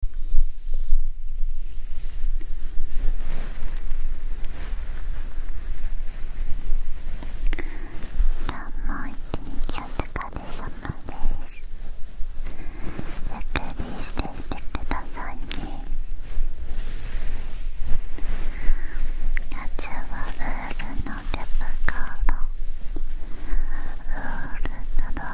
も一日お疲れ様ですゆっくりしていてくださいね夏はウールの手袋ウールなど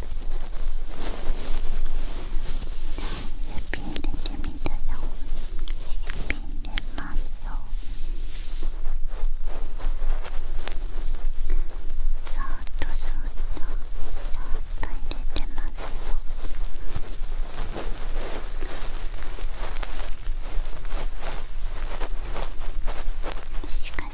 指入出てみたよ指入出ますよそーっとそーっとそーっと入れてますよしかし…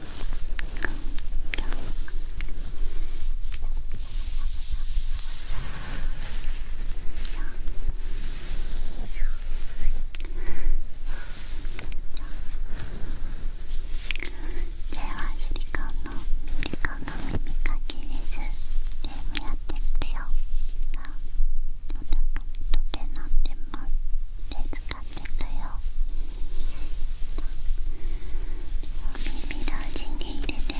シリコンのシリコンの耳かきですゲームやってくよあだよお耳同時に入れてくよ耳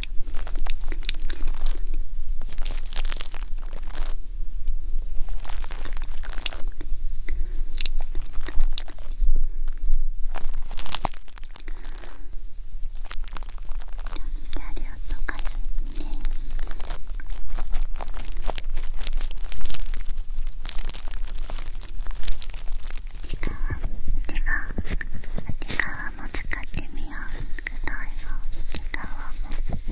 じゃあ両とかいね。手側手側手側も使ってみようくだいよ手側も手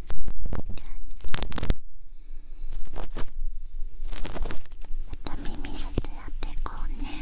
また耳ずてやっていこうね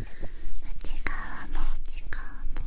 内側の内側も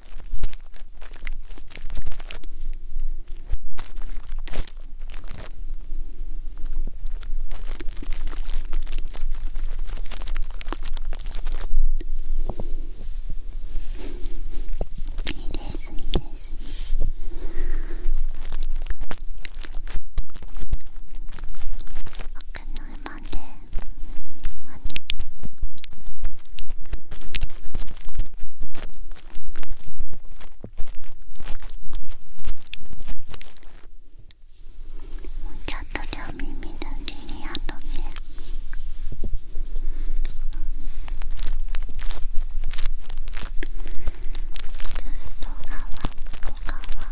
奥のちょっと両耳だけにあとね動画は動画は。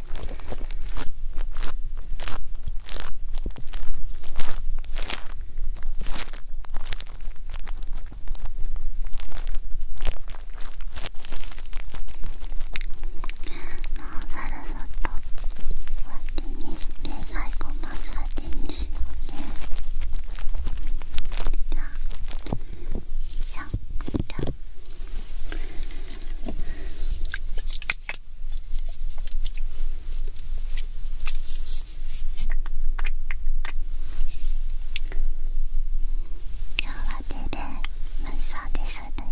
サルサとワテにして最後マサージにしようね今日は手で無双ですだよ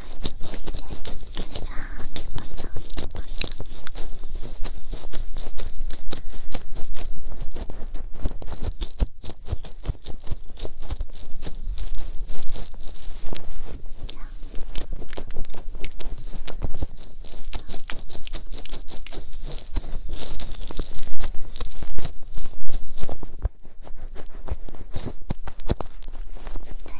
大